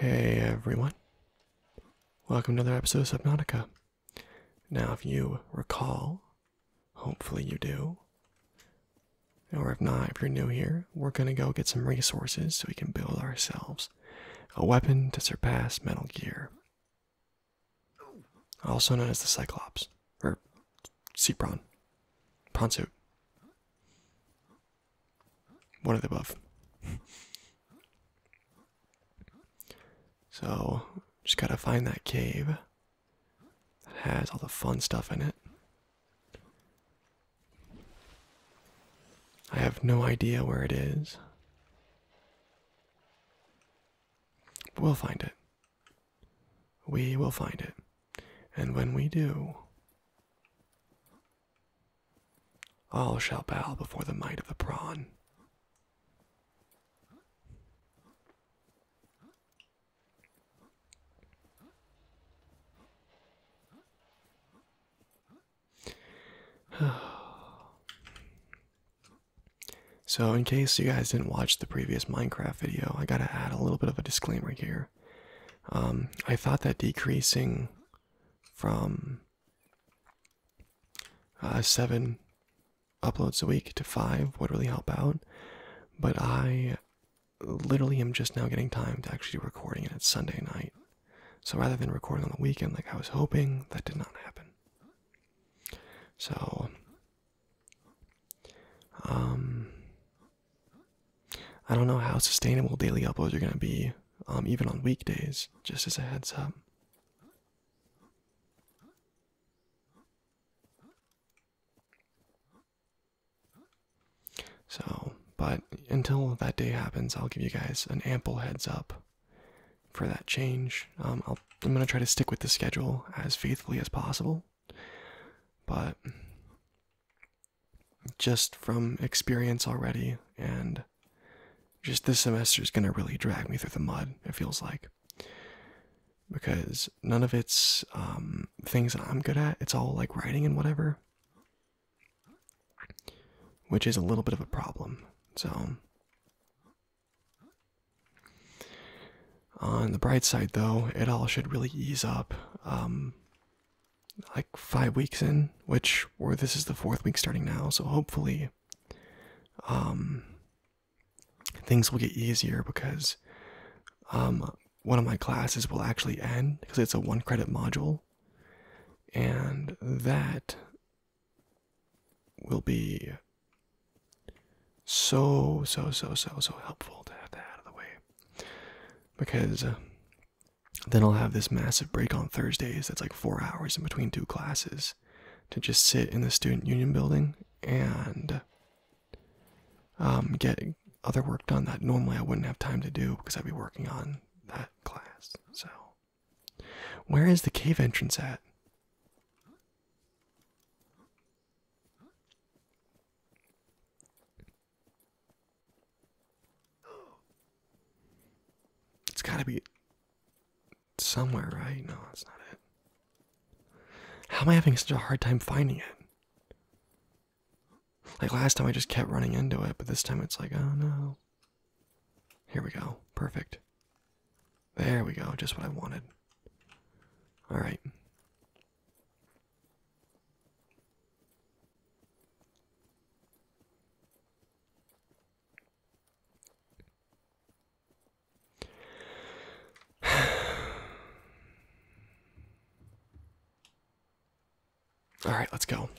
Hey everyone. Welcome to another episode of Subnautica. Now, if you recall, hopefully you do, or if not, if you're new here, we're gonna go get some resources so we can build ourselves a weapon to surpass Metal Gear, also known as the Cyclops or sea prawn, prawn soup. One of the above. so just gotta find that cave that has all the fun stuff in it. I have no idea where it is. we'll find it. We will find it. And when we do, all shall bow before the might of the prawn. So, in case you guys didn't watch the previous Minecraft video, I gotta add a little bit of a disclaimer here. Um, I thought that decreasing from uh, seven uploads a week to five would really help out, but I literally am just now getting time to actually recording it. It's Sunday night. So, rather than recording on the weekend like I was hoping, that did not happen. So, um, I don't know how sustainable daily uploads are going to be, um, even on weekdays, just as a heads up. So, but until that day happens, I'll give you guys an ample heads up for that change. Um, I'm going to try to stick with the schedule as faithfully as possible. But just from experience already, and just this semester is going to really drag me through the mud, it feels like. Because none of it's um, things that I'm good at, it's all like writing and whatever. Which is a little bit of a problem. So, on the bright side, though, it all should really ease up. Um, like five weeks in, which or this is the fourth week starting now, so hopefully, um, things will get easier because, um, one of my classes will actually end because it's a one credit module, and that will be so, so, so, so, so helpful to have that out of the way. Because uh, then I'll have this massive break on Thursdays that's like four hours in between two classes to just sit in the student union building and um, get other work done that normally I wouldn't have time to do because I'd be working on that class. So, where is the cave entrance at? It's gotta be somewhere, right? No, that's not it. How am I having such a hard time finding it? Like last time I just kept running into it, but this time it's like, oh no. Here we go. Perfect. There we go, just what I wanted. Alright. All right, let's go.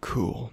Cool.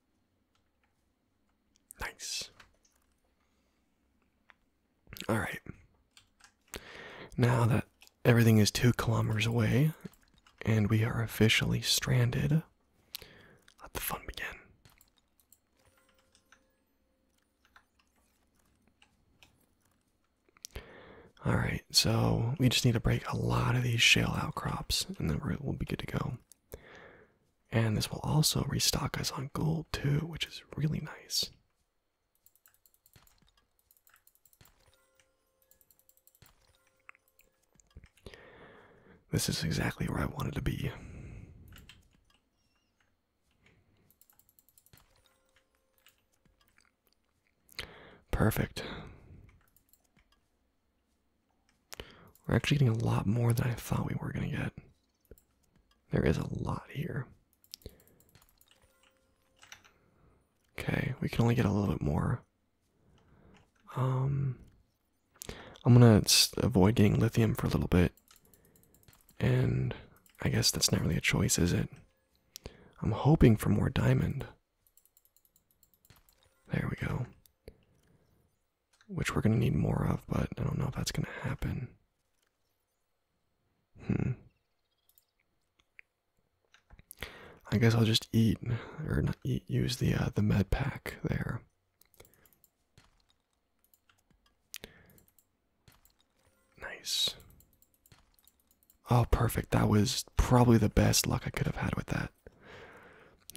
Nice. Alright. Now that everything is two kilometers away and we are officially stranded, let the fun begin. Alright, so we just need to break a lot of these shale outcrops and then we'll be good to go. And this will also restock us on gold too, which is really nice. This is exactly where I wanted to be. Perfect. We're actually getting a lot more than I thought we were going to get. There is a lot here. Okay, we can only get a little bit more. Um, I'm gonna avoid getting lithium for a little bit, and I guess that's not really a choice, is it? I'm hoping for more diamond. There we go which we're going to need more of, but I don't know if that's going to happen. Hmm. I guess I'll just eat or not eat use the uh, the med pack there. Nice. Oh, perfect. That was probably the best luck I could have had with that.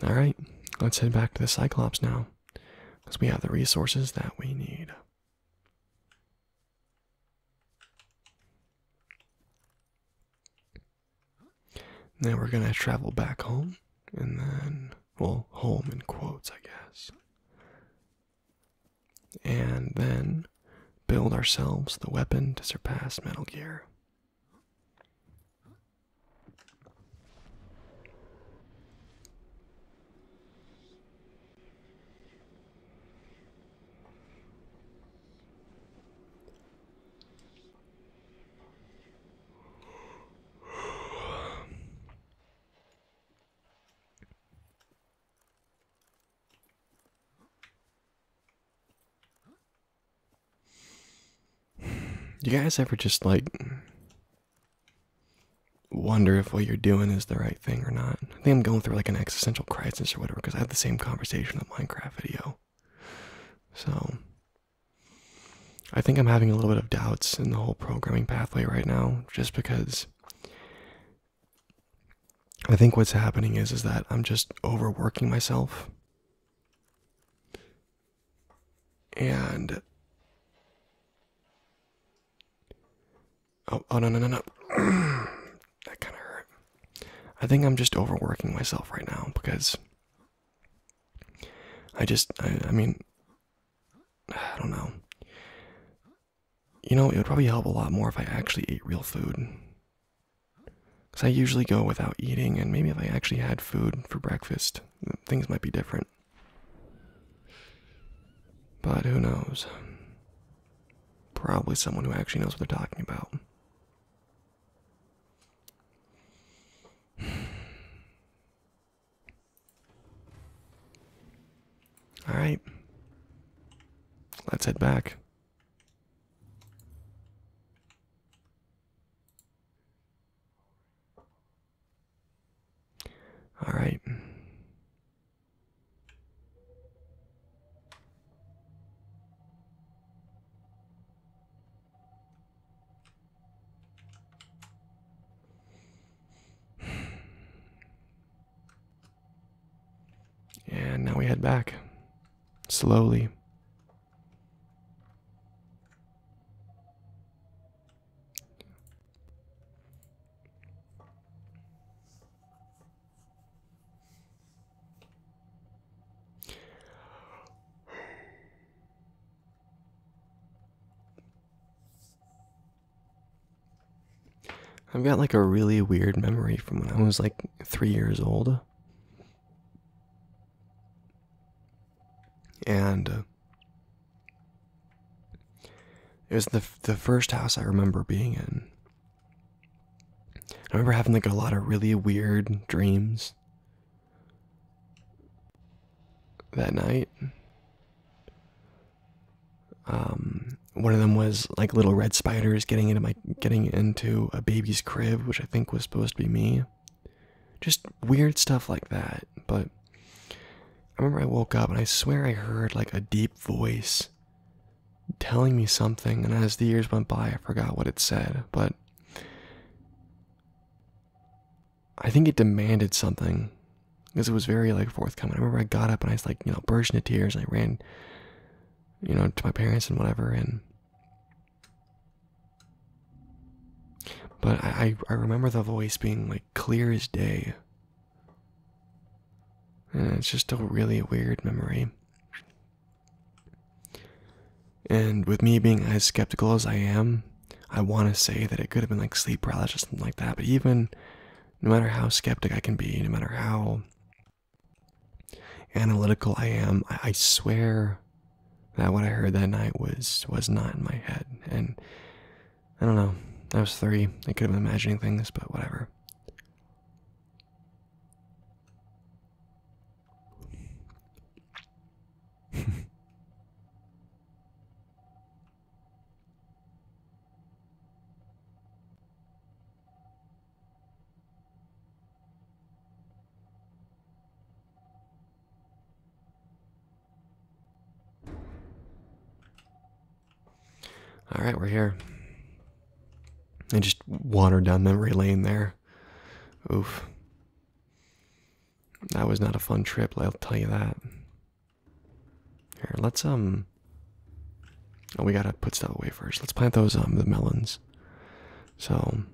All right. Let's head back to the Cyclops now because we have the resources that we need. Then we're going to travel back home and then, well, home in quotes, I guess. And then build ourselves the weapon to surpass Metal Gear. You guys ever just like wonder if what you're doing is the right thing or not. I think I'm going through like an existential crisis or whatever because I had the same conversation in the Minecraft video. So I think I'm having a little bit of doubts in the whole programming pathway right now just because I think what's happening is is that I'm just overworking myself and oh, oh, no no no no, that kind of hurt. I think I'm just overworking myself right now because I just I mean I don't know. You know, it would probably help a lot more if I actually ate real food. Because I usually go without eating, and maybe if I actually had food for breakfast, things might be different. But who knows? Probably someone who actually knows what they're talking about. All right. Let's head back. All right. And now we head back slowly I've got like a really weird memory from when I was like three years old. And uh, it was the the first house I remember being in. I remember having like a lot of really weird dreams that night. Um, one of them was like little red spiders getting into my getting into a baby's crib, which I think was supposed to be me just weird stuff like that. But I remember I woke up and I swear I heard like a deep voice telling me something, and as the years went by, I forgot what it said, but I think it demanded something because it was very like forthcoming. I remember I got up and I was like, you know, bursting into tears and I ran, you know, to my parents and whatever, and but I, remember the voice being like clear as day. And it's just a really weird memory. And with me being as skeptical as I am, I want to say that it could have been like sleep paralysis or something like that. But even no matter how skeptic I can be, no matter how analytical I am, I swear that what I heard that night was was not in my head, and I don't know. I was three. I could have been imagining things, but whatever. All right, we're here. I just wandered down memory lane there. Oof. That was not a fun trip, I'll tell you that. Here, let's, um... Oh, we gotta put stuff away first. Let's plant those, um, the melons. So...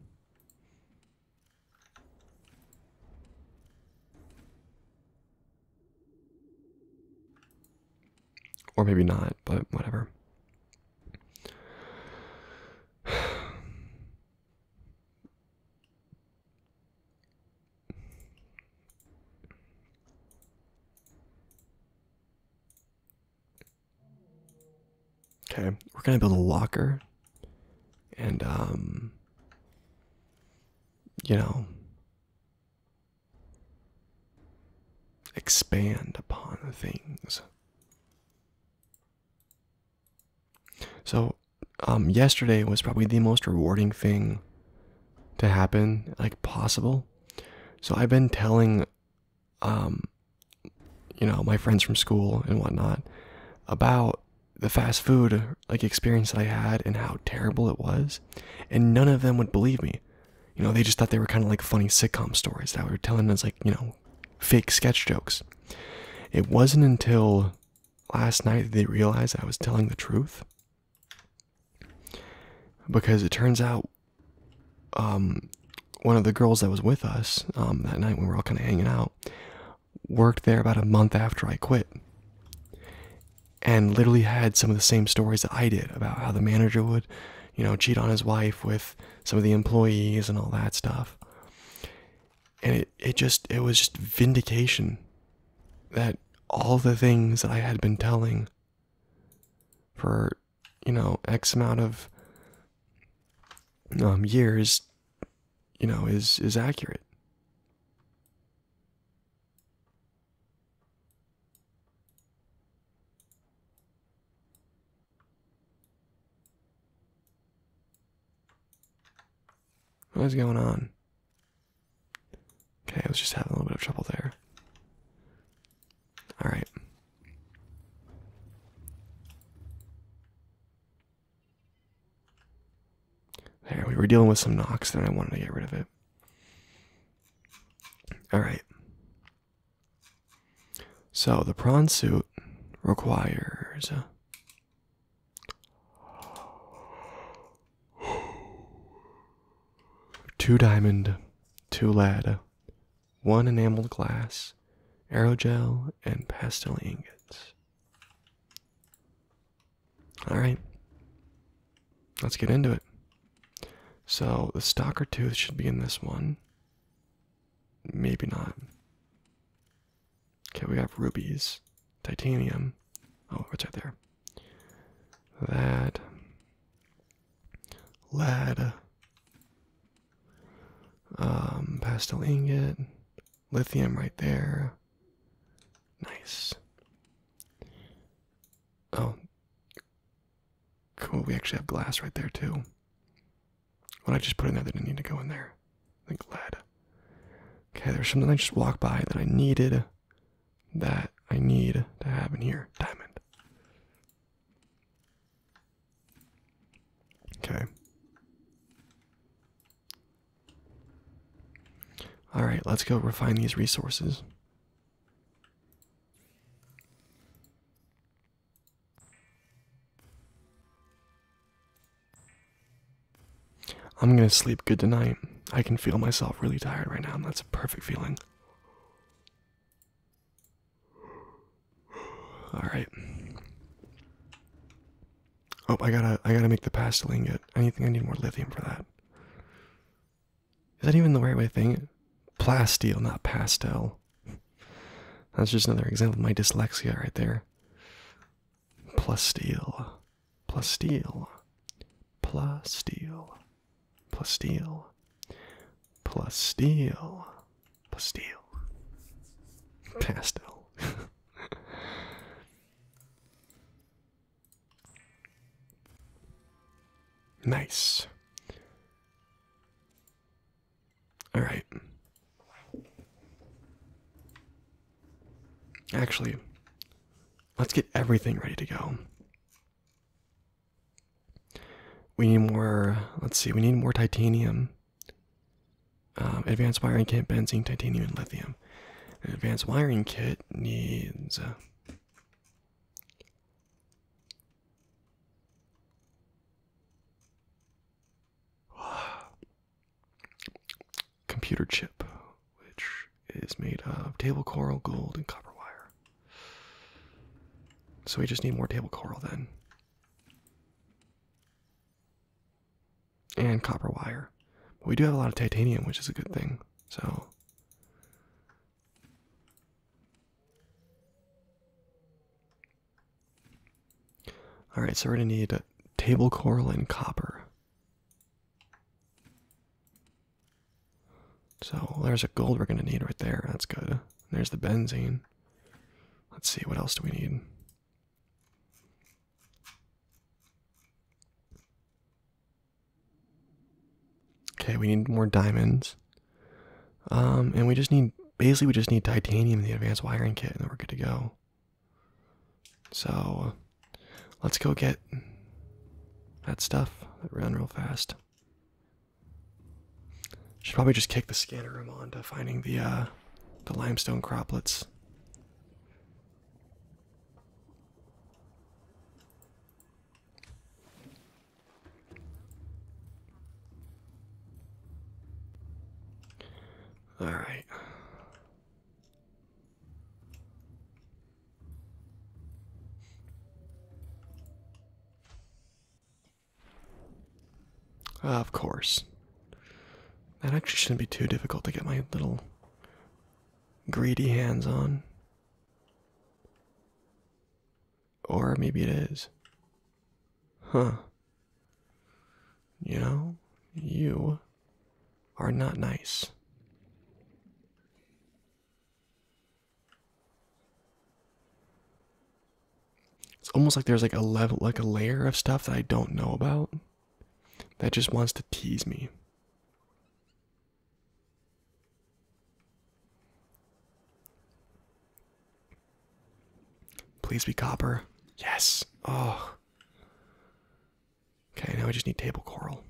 Or maybe not, but whatever. Okay, we're gonna build a locker, and um, you know, expand upon things. So, um, yesterday was probably the most rewarding thing to happen, like possible. So I've been telling, um, you know, my friends from school and whatnot about the fast food like experience that I had and how terrible it was, and none of them would believe me. You know, they just thought they were kind of like funny sitcom stories that were telling us like you know, fake sketch jokes. It wasn't until last night that they realized I was telling the truth, because it turns out, um, one of the girls that was with us um that night when we were all kind of hanging out, worked there about a month after I quit and literally had some of the same stories that I did about how the manager would, you know, cheat on his wife with some of the employees and all that stuff. And it, it just, it was just vindication that all the things that I had been telling for, you know, X amount of um, years you know, is is accurate. What is going on? Okay, I was just having a little bit of trouble there. All right. There, we were dealing with some knocks, and I wanted to get rid of it. All right. So the prawn suit requires. Uh, two diamond, two lead, one enameled glass, aerogel, and pastel ingots. Alright, let's get into it. So, the stalker tooth should be in this one. Maybe not. Okay, we have rubies, titanium. Oh, what's right there. That. Lead. Um, pastel ingot, lithium right there. Nice. Oh, cool. We actually have glass right there too. What I just put in there that didn't need to go in there. I lead. Okay, there's something I just walked by that I needed, that I need to have in here. Diamond. Okay. All right, let's go refine these resources. I'm going to sleep good tonight. I can feel myself really tired right now, and that's a perfect feeling. All right. Oh, I gotta, I gotta make the pastel ingot. I think I need more lithium for that. Is that even the right way thing? Plasteel, not pastel. That's just another example of my dyslexia right there. Plasteel, plasteel, plasteel, plasteel, plasteel, Pastel, Pastel. nice. All right. Actually, let's get everything ready to go. We need more, let's see, we need more titanium. Um, advanced wiring kit, benzene, titanium, and lithium. An advanced wiring kit needs. a uh, computer chip, which is made of table coral, gold, and copper wire. So we just need more table coral then and copper wire. But we do have a lot of titanium, which is a good thing. So All right, so we're going to need table coral and copper. So there's a gold we're going to need right there. That's good. there's the benzene. Let's see, what else do we need? Okay, we need more diamonds. Um, and we just need basically we just need titanium in the advanced wiring kit and then we're good to go. So let's go get that stuff that ran real fast. Should probably just kick the scanner room on to finding the uh, the limestone croplets. All right. Of course. That actually shouldn't be too difficult to get my little greedy hands on. Or maybe it is. Huh. You know, you are not nice it's almost like there's like a level like a layer of stuff that I don't know about that just wants to tease me. Please be copper. Yes. Oh. Okay, now we just need table coral.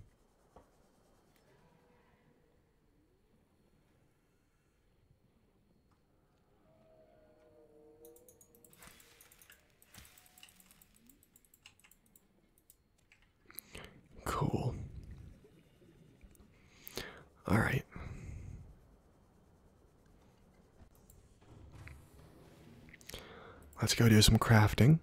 Cool. All right. Let's go do some crafting.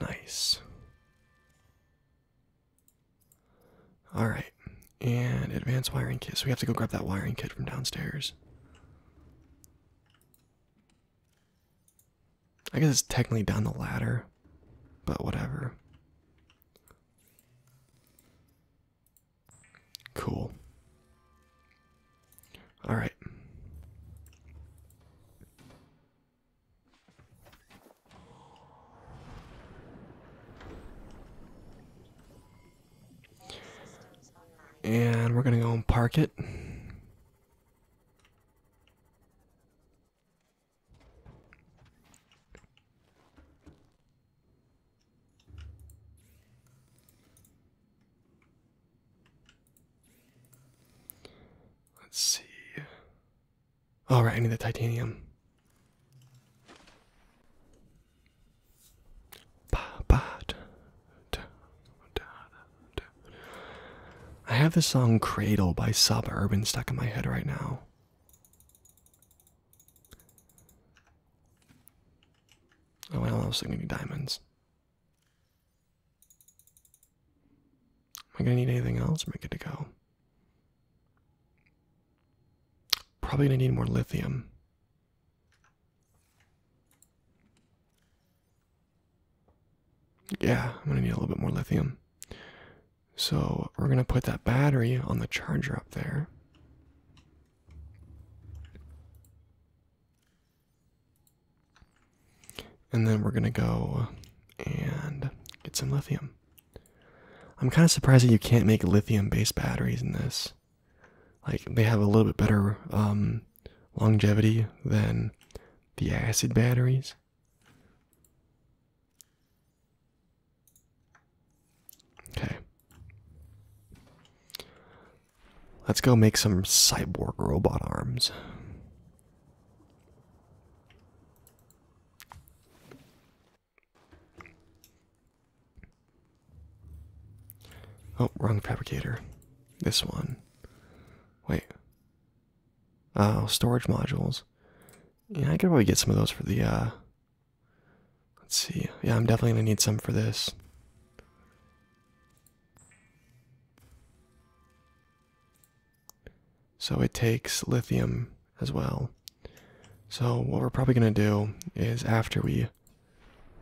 Nice. Alright, and advanced wiring kit. So we have to go grab that wiring kit from downstairs. I guess it's technically down the ladder, but whatever. Cool. All right. And we're going to go and park it. Let's see. All right, I need the titanium. I have the song Cradle by Suburban stuck in my head right now. Oh, well, I was thinking diamonds. Am I gonna need anything else? Am I good to go? Probably gonna need more lithium. Yeah, I'm gonna need a little bit more lithium. So we're gonna put that battery on the charger up there. And then we're going to go and get some lithium. I'm kind of surprised that you can't make lithium based batteries in this. Like, they have a little bit better um, longevity than the acid batteries. Okay. Let's go make some cyborg robot arms. Oh, wrong fabricator. This one. Wait. Oh, storage modules. Yeah, I could probably get some of those for the, uh... Let's see. Yeah, I'm definitely gonna need some for this. So it takes lithium as well. So what we're probably going to do is after we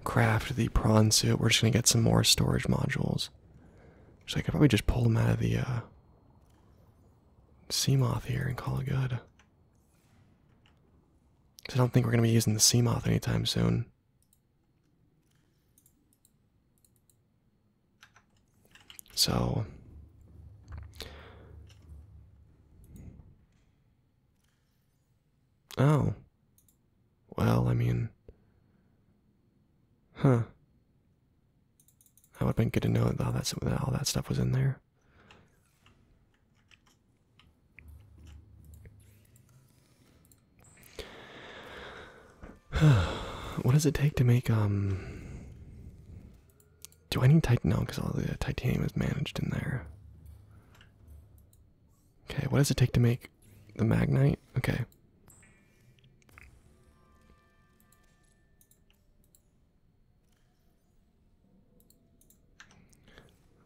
craft the prawn suit, we're just going to get some more storage modules. So I could probably just pull them out of the sea uh, moth here and call it good. I don't think we're going to be using the sea moth anytime soon. So Oh. Well, I mean Huh. That would have been good to know that all that, all that stuff was in there. what does it take to make um do I need titanium because all the titanium is managed in there. Okay, what does it take to make the magnite? Okay.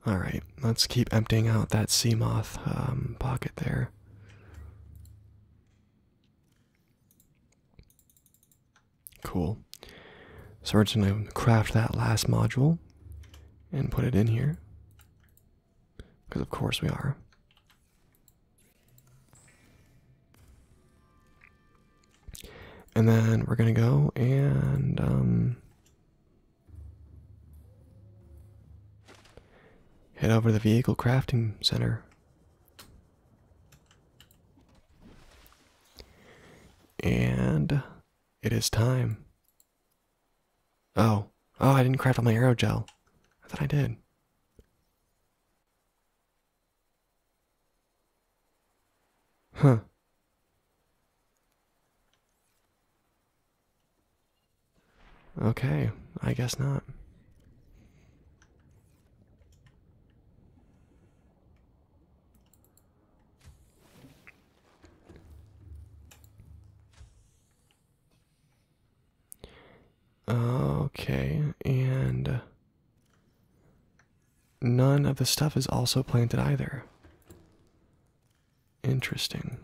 Alright, let's keep emptying out that Seamoth moth um, pocket there. Cool. So we're just going to craft that last module and put it in here. Because of course we are. And then we're going to go and um, Head over to the vehicle crafting center. And it is time. Oh, oh, I didn't craft all my aerogel. I thought I did. Huh. Okay, I guess not. Okay, and none of the stuff is also planted either. Interesting.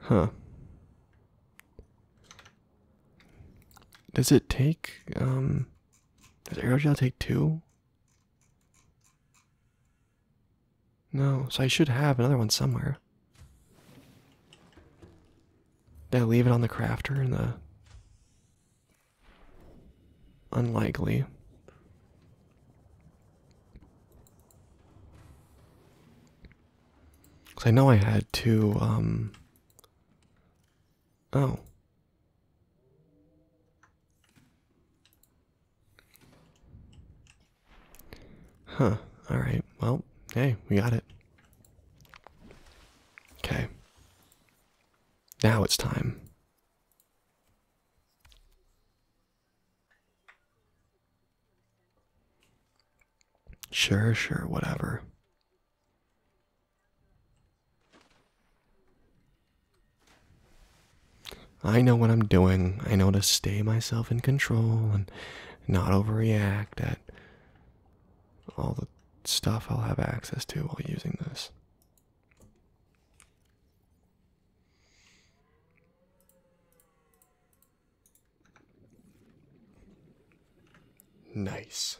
Huh. Does it take, um, does aerogel take two? No, so I should have another one somewhere. Did I leave it on the crafter And the unlikely? Cause I know I had to. Um. Oh. Huh. All right. Well, hey, we got it. Okay. Now it's time. Sure, sure, whatever. I know what I'm doing. I know to stay myself in control and not overreact at all the stuff I'll have access to while using this. Nice.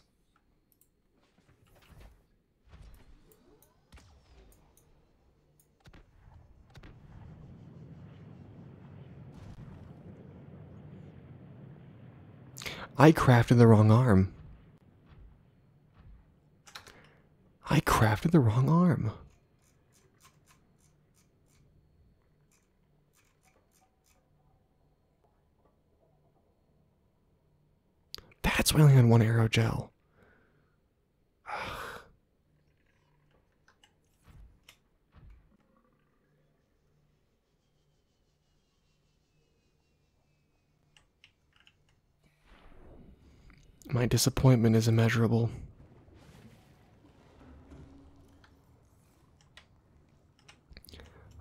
I crafted the wrong arm. I crafted the wrong arm. That's why I only had one arrow gel. My disappointment is immeasurable.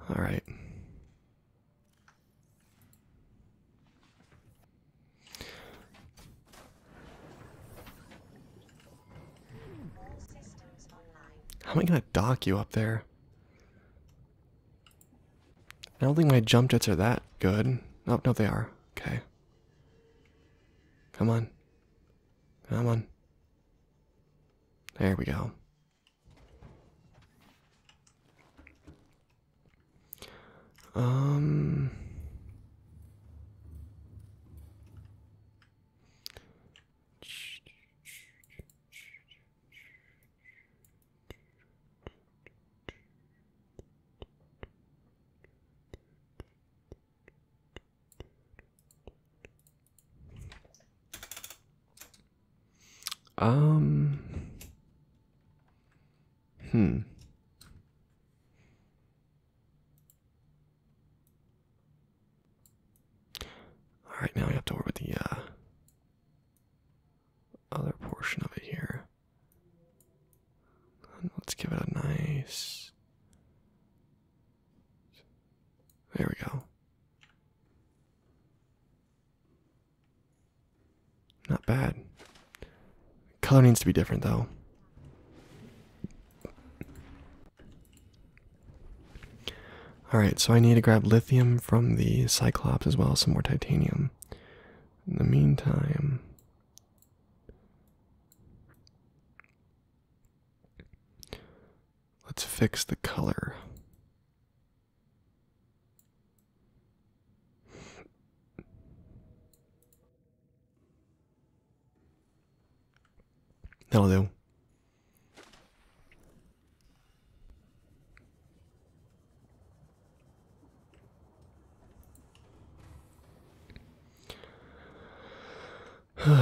All right. How am I gonna dock you up there? I don't think my jump jets are that good. No, no, they are. Okay. Come on. Come on. There we go. Um. Um. Hmm. All right, now we have to work with the uh, other portion of it here. let's give it a nice. There we go. Not bad. Color needs to be different though. Alright, so I need to grab lithium from the Cyclops as well as some more titanium. In the meantime. Let's fix the color. That'll do. oh,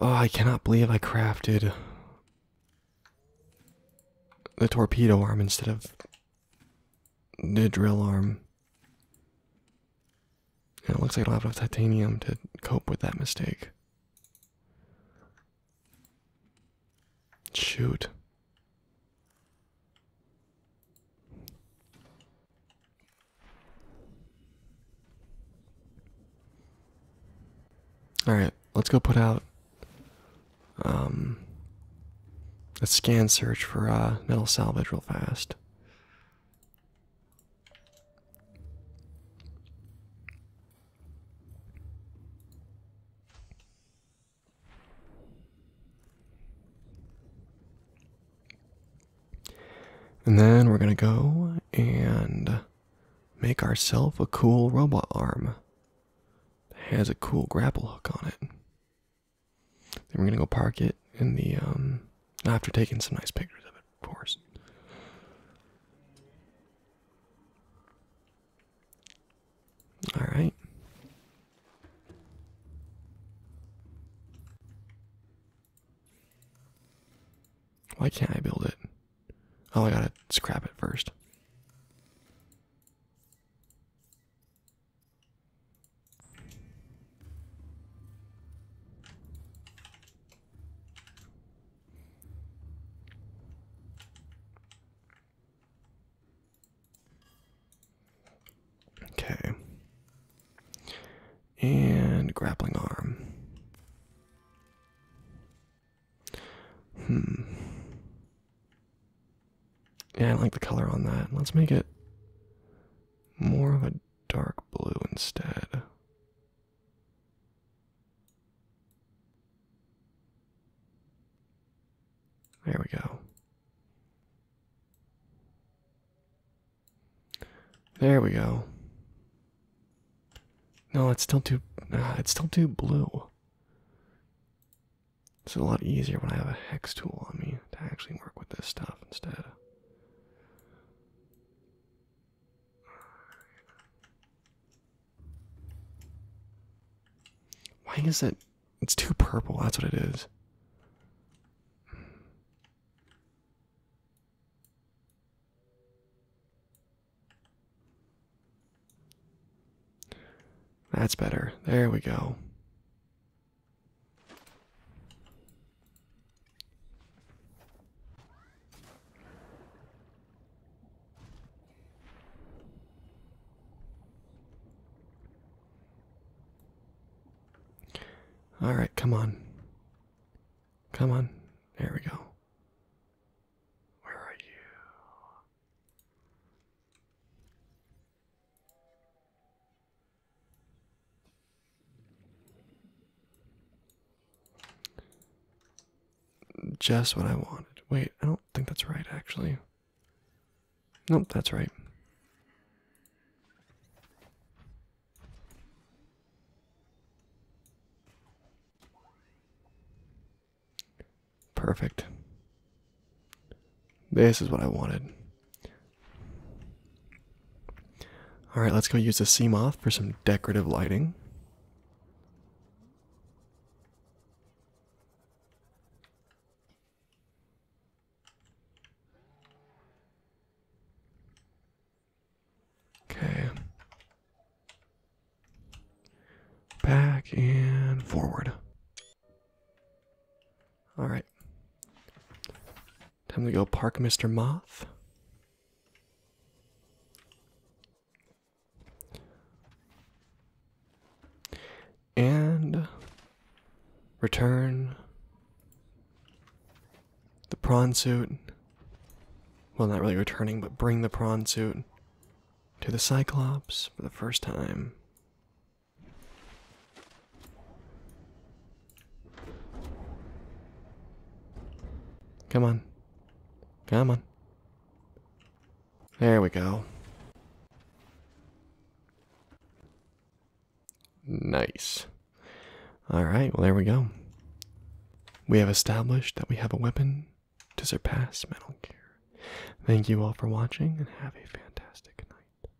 I cannot believe I crafted the torpedo arm instead of the drill arm it looks like I don't have enough titanium to cope with that mistake. Shoot. All right, let's go put out um, a scan search for uh, metal salvage real fast. And then we're going to go and make ourselves a cool robot arm that has a cool grapple hook on it we're gonna go park it in the um after taking some nice pictures of it, of course. Alright. Why can't I build it? Oh, I gotta scrap it first. Okay. And grappling arm. Hmm. Yeah, I like the color on that. Let's make it more of a dark blue instead. There we go. There we go. No, it's still too ah, it's still too blue. It's a lot easier when I have a hex tool on me to actually work with this stuff instead. Why is it? It's too purple. That's what it is. That's better. There we go. All right, come on. Come on. There we go. Where are you? Just what I wanted. Wait, I don't think that's right, actually. Nope, that's right. Perfect. This is what I wanted. Alright, let's go use the C moth for some decorative lighting. Okay. Back and forward. All right. Time to go park Mr. Moth. And return the prawn suit. Well, not really returning, but bring the prawn suit to the Cyclops for the first time. Come on. Come on. There we go. Nice. Alright, well there we go. We have established that we have a weapon to surpass Metal Gear. Thank you all for watching and have a fantastic night.